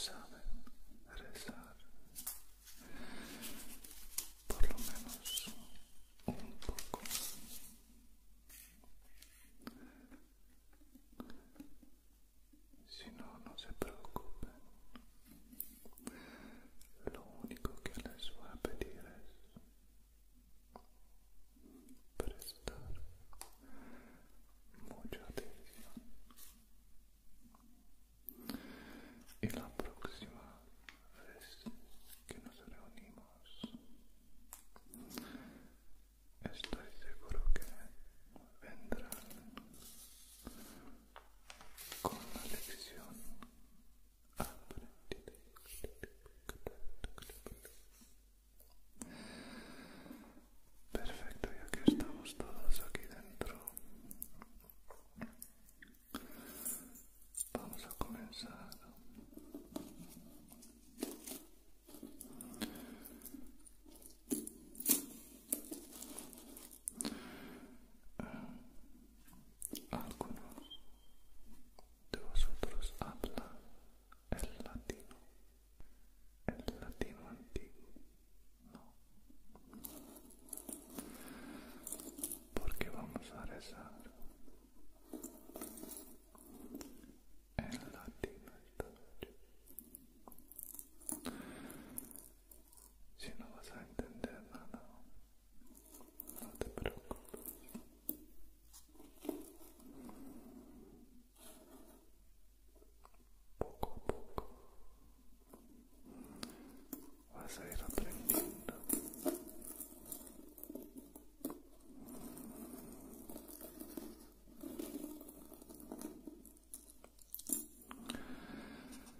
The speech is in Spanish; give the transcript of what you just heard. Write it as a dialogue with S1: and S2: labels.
S1: saben rezar por lo menos un poco si no no se preocupen lo único que les voy a pedir es prestar mucha atención y la próxima vez que nos reunimos estoy seguro que vendrán con la lección aprendida
S2: Perfecto, ya que estamos todos aquí dentro, vamos a comenzar ah, algunos
S3: de vosotros habla el latino, el latino antiguo, no, porque vamos a rezar el latino
S1: Si no vas a entender nada, no te preocupes.
S2: Poco a poco vas a ir aprendiendo.